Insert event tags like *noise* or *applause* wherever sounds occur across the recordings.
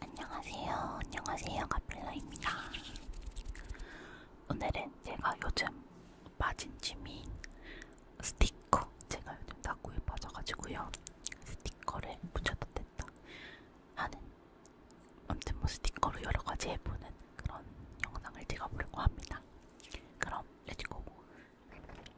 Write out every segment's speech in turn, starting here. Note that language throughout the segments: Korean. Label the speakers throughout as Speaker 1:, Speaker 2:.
Speaker 1: 안녕하세요. 안녕하세요. 가필라입니다. 오늘은 제가 요즘 빠진 짐인 스티커. 제가 요즘 다구에 빠져가지고요. 스티커를 붙여도 된다 하는 아무튼 뭐 스티커로 여러가지 해보는 그런 영상을 찍어보려고 합니다. 그럼 렛츠고!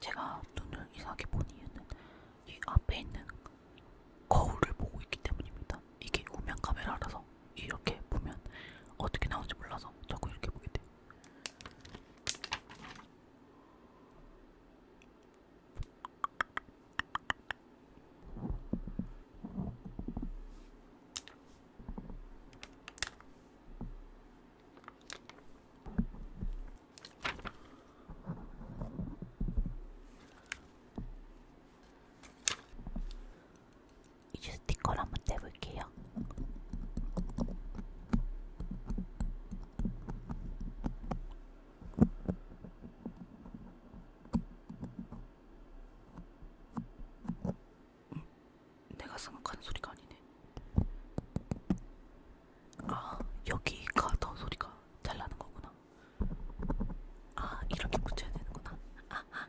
Speaker 1: 제가 눈을 이상하게 본 이유는 이 앞에 있는 거울을 보고 있기 때문입니다. 이게 우면 카메라라서 이렇게 보면 어떻게 나오는지 몰라서 자꾸 이렇게 보게 돼요. 이제 스티커를 네 한번 떼볼게요. 내가 생각하는 소리가 아니네. 아, 여기가 더 소리가 잘 나는 거구나. 아, 이렇게 붙여야 되는구나. 아하.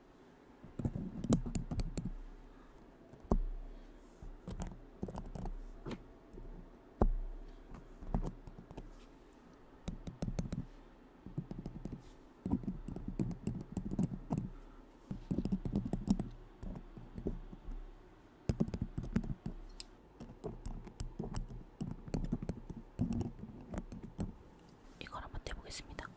Speaker 1: 이걸 한번 떼보겠습니다.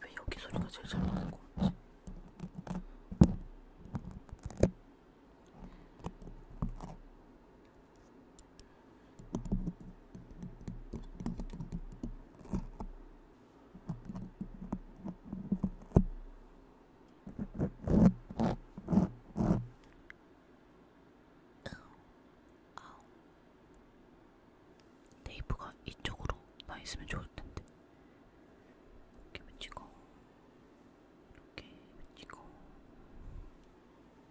Speaker 1: 왜 여기 소리가 제일 잘 나는 건지. 테이프가 이쪽으로 나 있으면 좋을 텐데. 이렇게 붙이고, 이렇게 붙이고,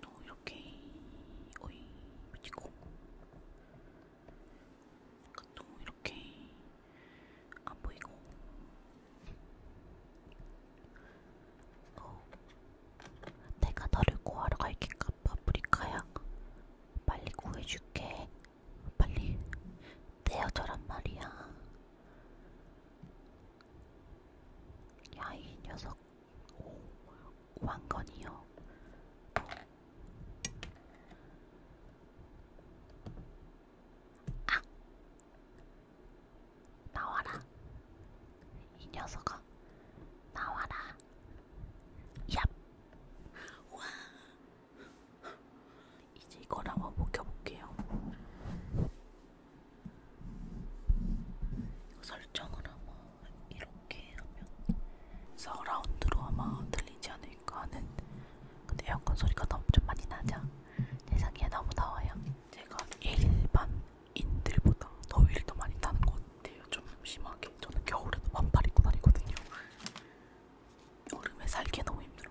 Speaker 1: 또 이렇게 오이 미치고 또 이렇게 안 보이고 어, 내가 너를 구하러 갈게까 파프리카야 빨리 구해줄게 빨리 떼어져란 말이야 야 이 녀석 오, 왕건이요. 아! 나와라. 이 녀석아. 나와라. 얍! 와! 이제 이거를 한번 먹여볼게요. 설정을 아마 이렇게 하면 서라운드로 아마 들리지 않을까 하는 근데 에어컨 소리가 너무 좀 많이 나죠? 세상에 너무 더워요. 제가 일반인들보다 더위를 더 많이 타는 것 같아요. 좀 심하게. 저는 겨울에도 반팔 입고 다니거든요. 여름에 살기 너무 힘들어.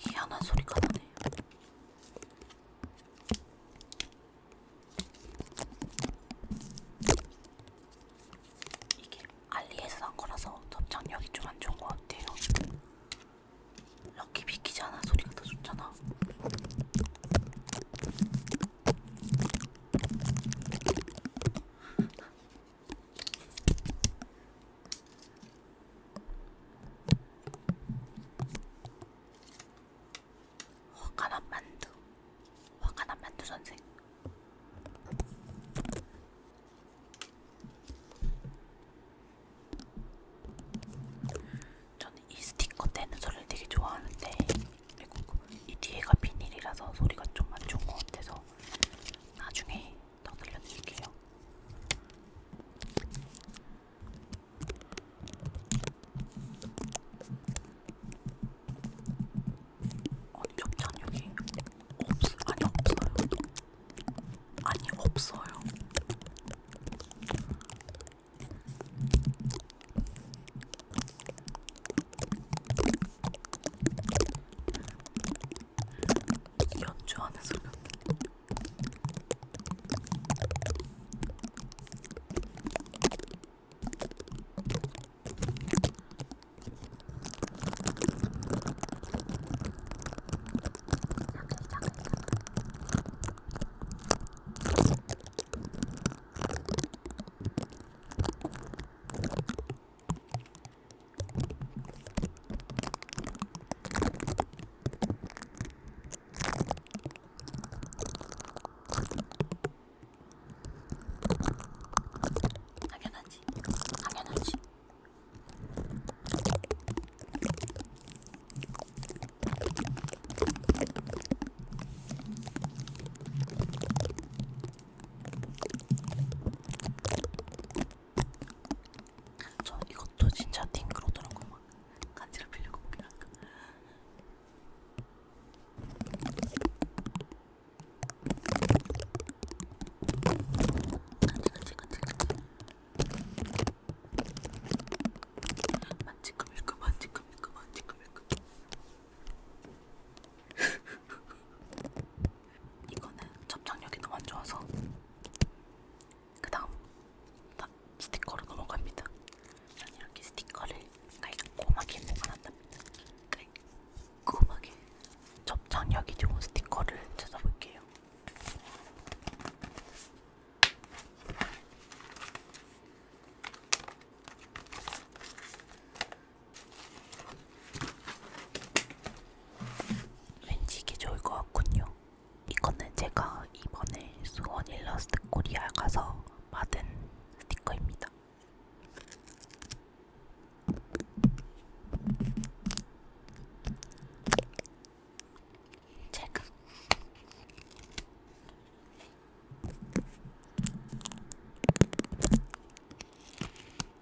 Speaker 1: 희한한 소리가 나네요. 이게 알리에서 난 거라서 접착력이 좀 안 좋은 것 같아요. 럭키 비키지 않아 소리가 더 좋잖아. 화가난 만두 화가난 만두 선생 저는 이 스티커 떼는 소리를 되게 좋아하는데 그리고 이 뒤에가 비닐이라서 소리가 좀 안 좋은 것 같아서 나중에 더 들려드릴게요. 아니 겹찬 여기 없 아니 없어요. 아니 없어요. 연주하는 소리 아, 당연하지, 당연하지. 전 이것도 진짜 띵글 오더라고 막 간지럽히려고 보긴 하니까 간지 간지 간지 간지 만지금 일금 만지금 일금 만지금 일금 *laughs* 이거는 접착력이 너무 안 좋아서 그다음 스티커로 넘어갑니다. 난 이렇게 스티커를 깔끔하게 보관한답니다. 깔끔하게 접착력이 좋은 스티커를 찾아볼게요. 왠지 이게 좋을 것 같군요. 이거는 제가 이번에 수원 일러스트 코리아 가서 받은 스티커입니다. 제가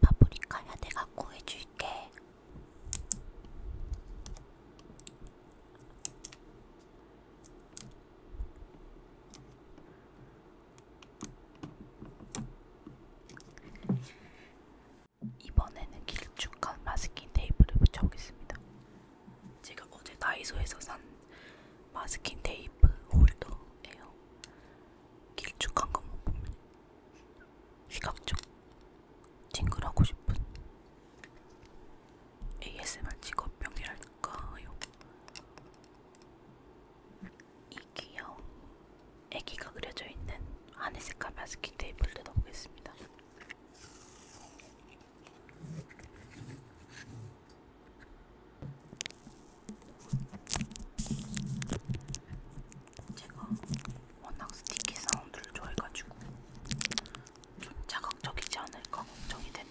Speaker 1: 파프리카야 내가 구해줄게. 이번에는 길쭉한 마스킹 테이프를 붙여보겠습니다. 제가 어제 다이소에서 산 마스킹 테이프 홀더예요. 길쭉한 것만 보면 시각적 징글하고 싶은 ASMR 직업병이랄까요? 이 귀여운 애기가 그려져 있는 하늘색 가마스키 테이블 뜯어보겠습니다. 제가 워낙 스티키 사운드를 좋아해가지고 자극적이지 않을까 걱정이 되네.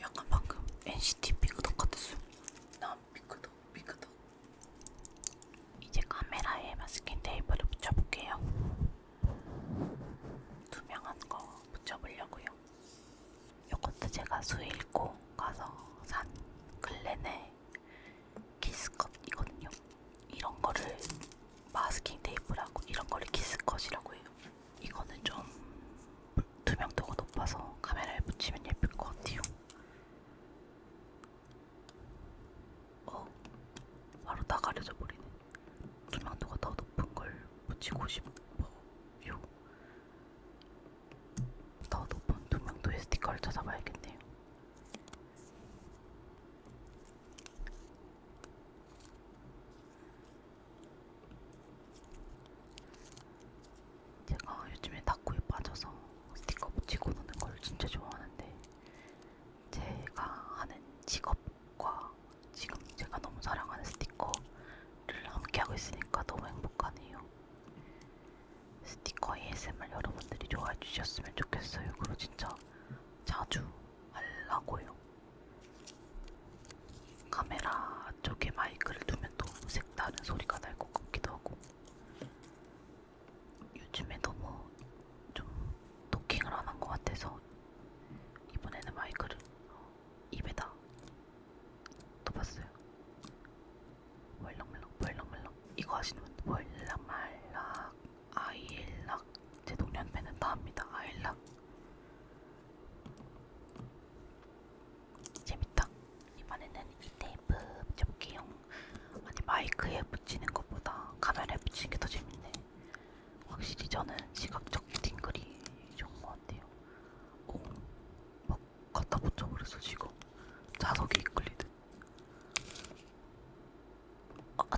Speaker 1: 약간 방금 NCT 핑크덕 같았어. 난 핑크덕, 핑크덕. 이제 카메라에 마스킹 테이프를 붙여볼게요. 투명한 거 붙여보려고요. 요것도 제가 수일고 가서 산 글렌의 키스컷이거든요. 이런 거를 마스킹 테이프라고 이런 거를 키스컷이라고 해요. 이거는 좀 투명도가 높아서 카메라에 붙이면 예쁠 것 같아요. 어, 바로 다 가려져 버리네. 투명도가 더 높은 걸 붙이고 싶어요. 더 높은 투명도의 스티커를 찾아봐야겠네요. 제가 요즘에 닭구에 빠져서 스티커 붙이고 노는 걸 진짜 좋아하는데 제가 하는 직업과 지금 제가 너무 사랑하는 스티커를 함께하고 있으니까 너무 행복하네요. 스티커 ASMR 여러분들이 좋아해 주셨으면 좋겠어요. 그리고 진짜 자주 하려고요. 카메라 쪽에 마이크를 두면 또 색다른 소리가 날 것 같기도 하고 요즘에 너무 좀 토킹을 안한것 같아서 이번에는 마이크를 어, 입에다 덮었어요. 멀렁멀렁 멀렁멀렁 이거 하시는 분 멀락말락 아일락 제 동년 팬은 다 합니다. 아일락 재밌다. 이번에는 이 테이프 접기용 아니 마이크에 붙이는 것보다 카메라에 붙이는 게 더 재밌네. 확실히 저는 시각적 팅글이 좋은 것 같아요. 오, 막 갖다 붙여버렸어 지금. 자석에 이끌리듯. 어, 아,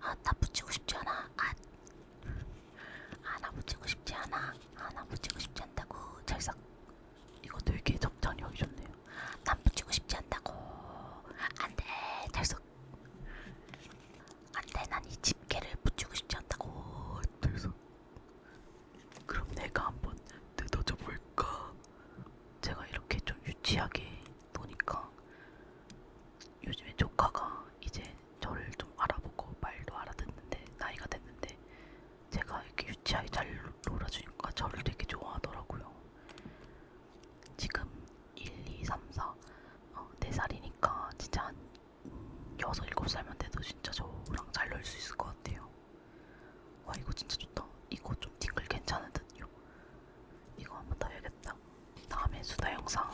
Speaker 1: 아, 나 붙이고 싶지 않아. 아, 아, 나 붙이고 싶지 않아. 아, 나 붙이고 싶지 않다고. 찰싹. 이거 되게 적당히 좋네요. 난 붙이고 싶지 않다고. 안돼 탈석. 안돼 난 이 집게를 붙이고 싶지 않다고. 탈석. 그럼 내가 한번 뜯어져 볼까? 제가 이렇게 좀 유치하게 노니까 요즘에 조카가 이제 저를 좀 알아보고 말도 알아듣는데 나이가 됐는데 제가 이렇게 유치하게 잘 놀아주니까 저를 되게 좋아하더라고요. 지금 1, 2, 3, 4, 어, 4살이니까 진짜 한 6, 7살만 돼도 진짜 저랑 잘 놀 수 있을 것 같아요. 와 이거 진짜 좋다. 이거 좀 딩글 괜찮은 듯요. 이거 한번 더 해야겠다. 다음에 수다 영상을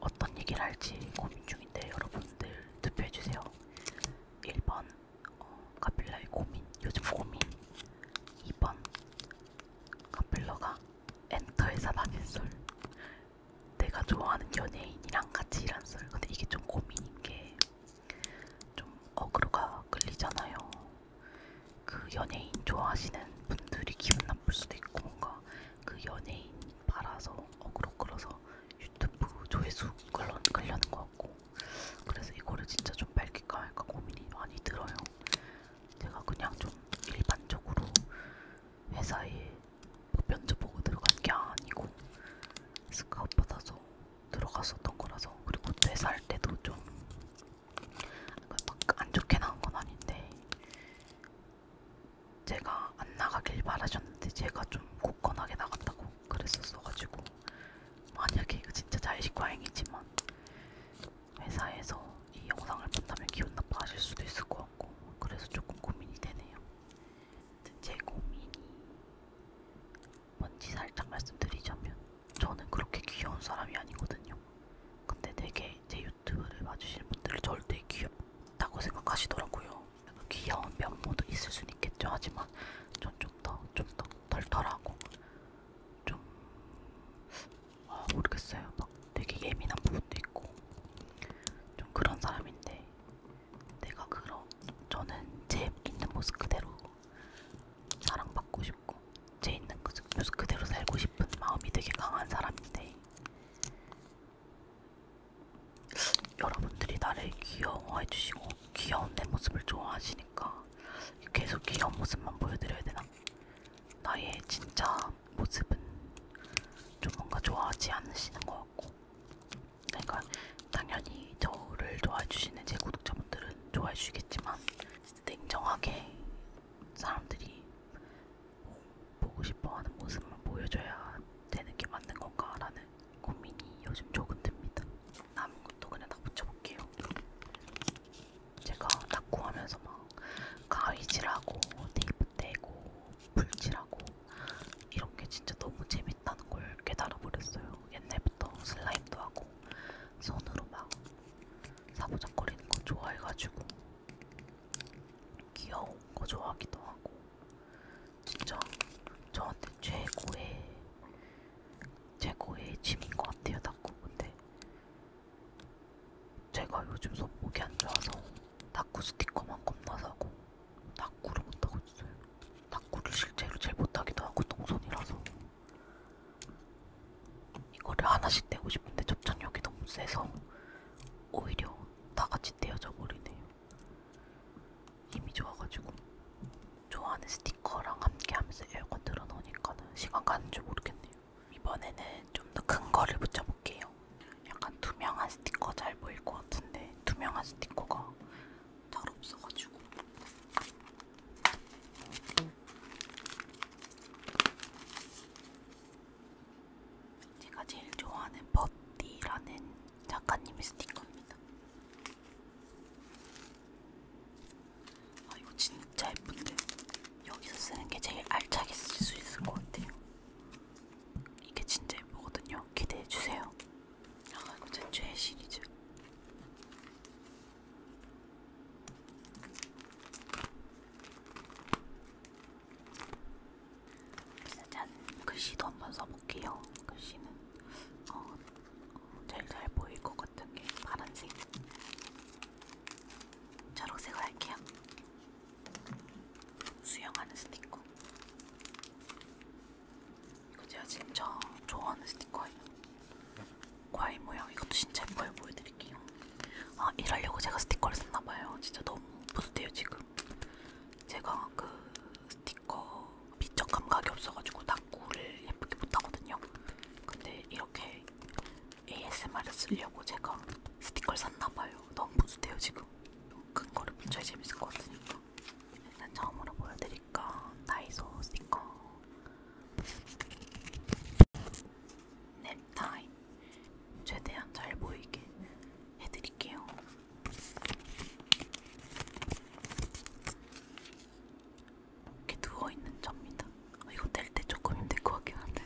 Speaker 1: 어떤 얘기를 할지 고민 중인데 여러분들 투표해주세요. 1번 어, 카필러의 고민, 요즘 고민 2번 카필러가 엔터에서 받은 썰 내가 좋아하는 연예인이랑 같이 일한 썰 근데 이게 좀 고민인 게좀 어그로가 끌리잖아요 그 연예인 좋아하시는 분들이 기분 나쁠 수도 있고 뭔가 그 연예인 팔아서 어그로 끌어서 유튜브 조회수 끌려는 거 같고 그래서 이거를 진짜 좀 밝힐까 그러니까 말까 고민이 많이 들어요. 제가 그냥 좀 일반적으로 회사에 뭐 면접 보고 들어간 게 아니고 스카웃 받아서 들어갔었던 거라서 그리고 퇴사할 때도 좀막안 그러니까 좋게 나온 건 아닌데 제가 안 나가길 바라셨는데 제가 좀 굳건하게 나갔다고 그랬었어가지고 만약에 이거 진짜 자의식 과잉이지만 회사에서 이 영상을 본다면 기분 나빠하실 수도 있을 것 같고 그래서 조금 고민이 되네요. 제 고민이 뭔지 살짝 말씀드리자면 저는 그렇게 귀여운 사람이 아니거든요. 근데 되게 제 유튜브를 봐주시는 분들은 저를 되게 귀엽다고 생각하시더라고요. 귀여운 면모도 있을 수는 있겠죠. 하지만 전 좀 더 좀 더 덜덜하고 좀 아, 모르겠어요. 막 되게 예민한 부분도 있고 좀 그런 사람인데 내가 그런 저는 제 있는 모습 그대로 사랑받고 싶고 제 있는 그 모습 그대로 살고 싶은 마음이 되게 강한 사람인데 여러분들이 나를 귀여워해주시고 귀여운 내 모습을 좋아하시 있으니까 계속 귀여운 모습만 보여드려야 되나? 나의 진짜 모습은 좀 뭔가 좋아하지 않으시는 것 같고 그러니까 당연히 저를 좋아해주시는 제 구독자분들은 좋아해주시겠지만 냉정하게 사람들이 보고 싶어하는 모습만 보여줘야 되는 게 맞는 건가라는 고민이 요즘 조금 듭니다. 남은 것도 그냥 다 붙여볼게요. 제가 닦구하면서 막 가위질하고 테이프 떼고 불질하고 이런 게 진짜 너무 재밌다는 걸 깨달아버렸어요. 옛날부터 슬라임도 하고 손으로 막 사부작거리는 거 좋아해가지고 귀여운 거 좋아하기도 하고 진짜 저한테 최고의 최고의 짐인 것 같아요, 닭구. 근데 제가 요즘 손목이 안 좋아서 닭구 스티커만 겁나 사고 닭구를 못하고 있어요. 닭구를 실제로 제일 못하기도 하고 동선이라서 이거를 하나씩 떼고 싶은데 접착력이 너무 세서 오히려 다같이 떼어져 버리네요. 힘이 좋아가지고 좋아하는 스티커 스티커랑 함께 하면서 에어컨 틀어놓으니까는 시간 가는 줄 모르겠네요. 이번에는 좀 더 큰 거를 붙여볼게요. 약간 투명한 스티커 잘 보일 것 같은데 투명한 스티커가 잘 없어가지고. 제가 제일 좋아하는 버티라는 작가님의 스티커입니다. 아 이거 진짜 예쁜데 여기서 쓰는 게 제일 알차게 쓸 수 있을 것 같아요. 이게 진짜 예쁘거든요. 기대해 주세요. 아 이거 제 최애 시리즈. 짠 글씨도 한번 써볼게요. 글씨는 어, 어, 제일 잘 보일 것 같은 게 파란색, 초록색으로 할게요. 수영하는 스티커. 이거 제가 지금 저 좋아하는 스티커예요. 과일 모양 이것도 진짜 예뻐요. 보여드릴게요. 아 이러려고 제가 스티커를 샀나봐요. 진짜 너무 뿌듯해요 지금. 제가 그 스티커 미적 감각이 없어가지고 다 고를 예쁘게 못하거든요. 근데 이렇게 ASMR을 쓰려고 제가 스티커를 샀나봐요. 너무 부수대요 지금. 큰 거를 붙여야 재밌을 것 같으니까. 일단 처음으로 보여드릴까? 다이소 스티커. 넵타임. 최대한 잘 보이게 해드릴게요. 이렇게 누워있는 점입니다. 이거 뗄 때 조금 힘들 것 같긴 한데.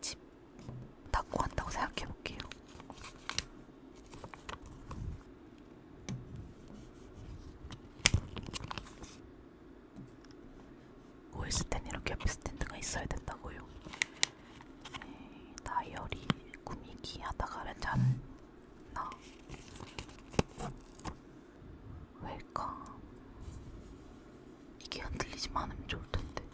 Speaker 1: 집 닦고 한다고 생각해볼게요. 오있을 땐 이렇게 옆에 스탠드가 있어야 된다고요. 네, 다이어리 꾸미기 하다가 렌즈 한나 왜일까? 이게 흔들리지만 않으면 좋을 텐데.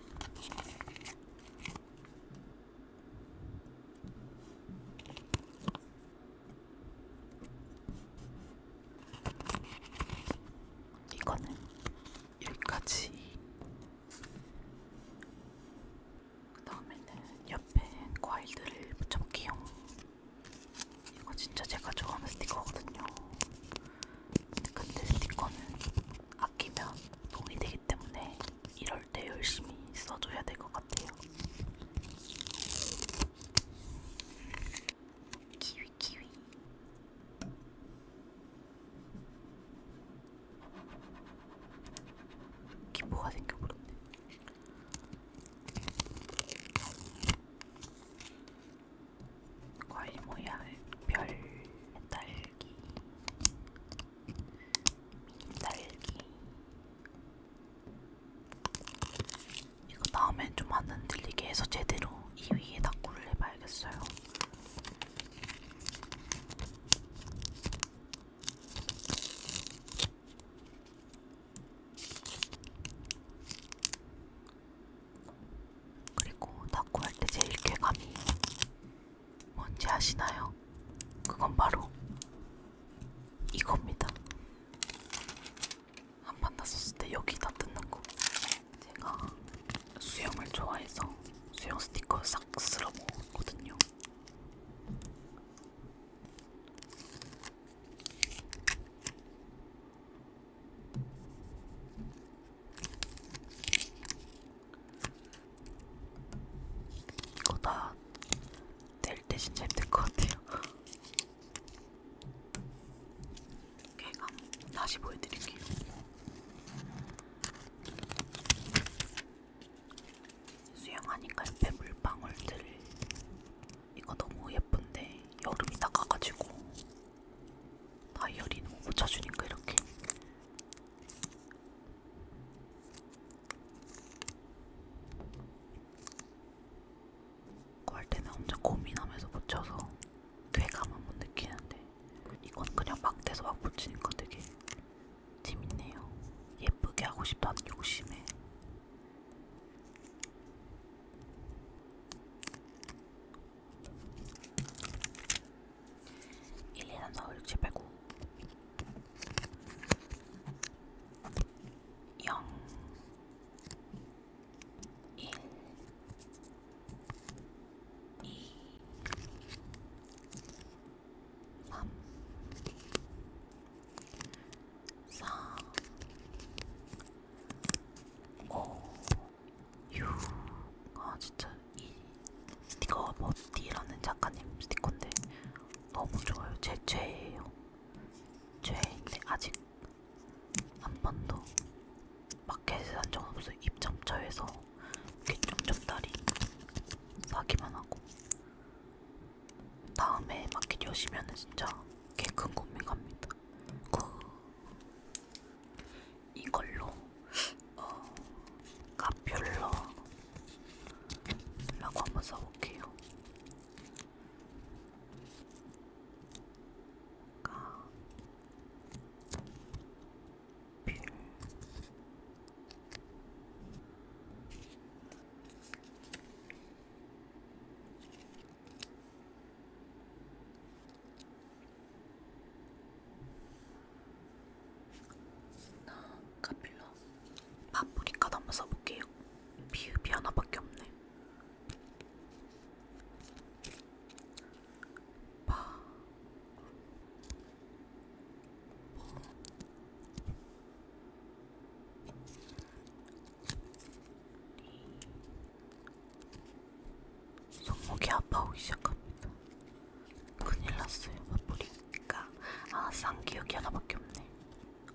Speaker 1: 이거는 여기까지 그 다음에는 옆에 과일들을 붙여볼게요. 이거 진짜 제가 좋아하는 스티커거든요. 근데 스티커는 아끼면 돈이 되기 때문에 이럴 때 열심히 써줘야 될 것 같아요. 키위 키위 기포가 생겨버렸네. 과일 모양 별 딸기, 미니 딸기. 이거 다음엔 좀 안 흔들리게 해서 제대로 2위에 닦구를 해봐야겠어요. 그리고 닦고 할 때 제일 쾌감이 뭔지 아시나요? 그건 바로 이겁니다. 한 판 났었을 때 여기다 뜯는 거. 제가 수영을 좋아해서 수영 스티커 싹 쓸어 먹었거든요. 이거 다뗄때 진짜 힘들 것 같아요. 개감 다시 보여드릴게요. 수영하니까 옆에 물방울들 이거 너무 예쁜데 여름이 다가가지고 다이어리 너무 묻혀주니까 이렇게 그거 할 때는 엄청 고민하면서 묻혀서 쾌감은 못 느끼는데 이건 그냥 막 대서 막 붙이니까 되게 재밌네요. 예쁘게 하고 싶다는 욕심에. 일이란 서울 789 0 1 2 3 4 5 6 아 진짜 이 스티커가 버티라는 작가님 스티커인데 너무 좋아요. 제 죄예요. 죄인데 아직 한 번도 마켓에서 한 적은 없어요. 입점처에서 이렇게 쫌쫌다리 사기만 하고 다음에 마켓 여시면 진짜 개 큰 고민 갑니다. 그 이걸로 어, 카퓰러라고 한번 써볼게요. 가, 뷰, 나 카필러 파프리카 한번 써볼게요. 비읍이 하나밖에 없네. 파 손목이 아파오기 시작합니다. 큰일 났어요. 바쁘니까. 그러니까, 아, 싼 기억이 하나밖에 없네.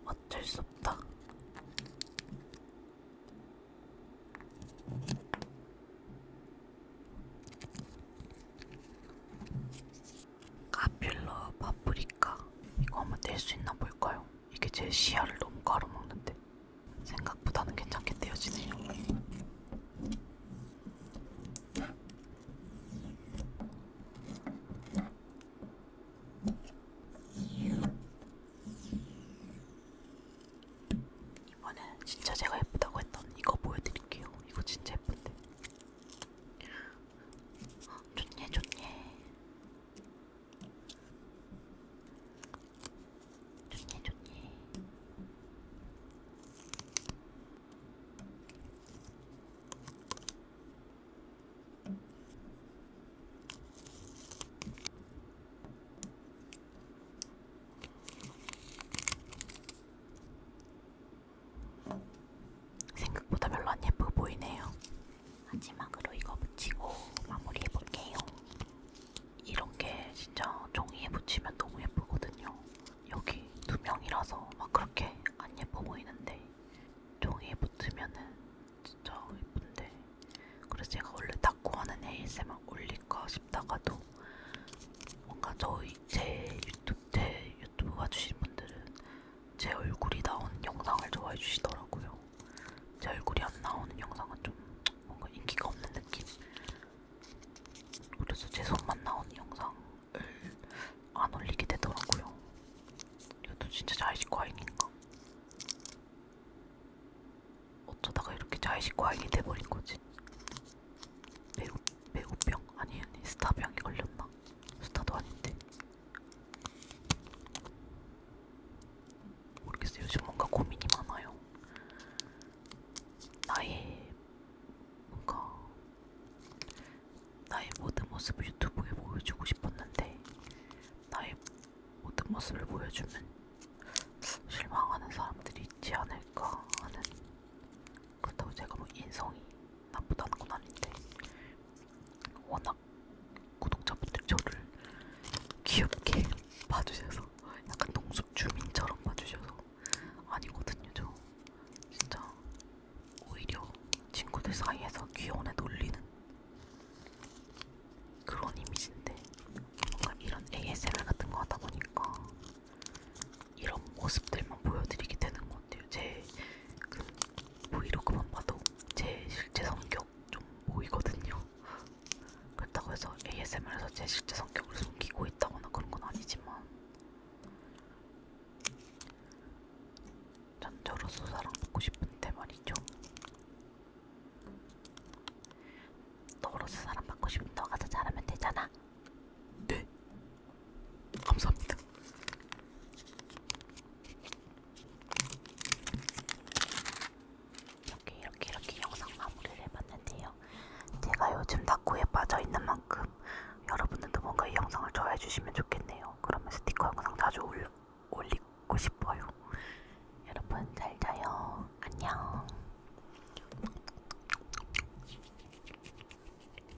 Speaker 1: 어쩔 수 없다. 카필러 파프리카 이거 한번 뗄 수 있나 볼까요? 이게 제 시야를 너무 가로막는데 생각보다는 괜찮게 떼어지네요. 이번엔 진짜 제가 예쁘다고 했던 이거 보여드릴게요. 이거 진짜 예쁜데 좋네, 좋네. 좋네, 좋네. 생각보다 별로 안 예뻐 보이네요. 마지막으로 이거 붙이고 마무리해 볼게요. 이런 게 진짜 종이에 붙이면 너무 예쁘거든요. 여기 두 명이라서 막 그렇게 안 예뻐 보이는데 종이에 붙으면은 진짜 예쁜데 그래서 제가 원래 닦고하는 ASMR 올릴까 싶다가도 뭔가 저희 제 유튜브 제 유튜브 봐주신 분들은 제 얼굴이 나오는 영상을 좋아해 주시더라고요. 제 얼굴이 안 나오는 영상은 좀 뭔가 인기가 없는 느낌? 그래서 제 손만 나오는 영상을 안 올리게 되더라고요. 이것도 진짜 자의식 과잉인가? 어쩌다가 이렇게 자의식 과잉이 돼버린 거지? 배우 배우병? 아니 아니 스타병이 걸렸나? 스타도 아닌데 모르겠어요 요즘 뭔가 고민이 많아요 나의 뭔가 나의 모든 모습을 유튜브에 보여주고 싶었는데 나의 모든 모습을 보여주면 실망하는 사람들이 있지 않을까 하는 그렇다고 제가 뭐 인성이 나쁘다는 건 아닌데 워낙 구독자분들 저를 귀엽게 봐주셔서 약간 동숲 주민처럼 봐주셔서 아니거든요 저 진짜 오히려 친구들 사이에서 귀여운 애 놀리는 그런 이미지인데 뭔가 이런 ASMR 같은 거 하다 보니까 이런 모습들만 보여드리게 되는 것 같아요. 제그 브이로그만 봐도 제 실제 성격 좀 보이거든요. 그렇다고 해서 ASMR에서 제 실제 성격을 숨기고 있다거나 그런 건 아니지만 전저로서 사랑받고 싶은데 말이죠. 너로서 사랑받고 싶은 너가 더 잘하면 되잖아. 네? 감사합니다. 이렇게 이렇게 이렇게 영상 마무리를 해봤는데요. 제가 요즘 다쿠에 빠져있는 만큼 여러분들도 뭔가 이 영상을 좋아해주시면 좋겠네요. 그러면 스티커 영상 자주 올려, 올리고 싶어요. 여러분 잘 자요. 안녕.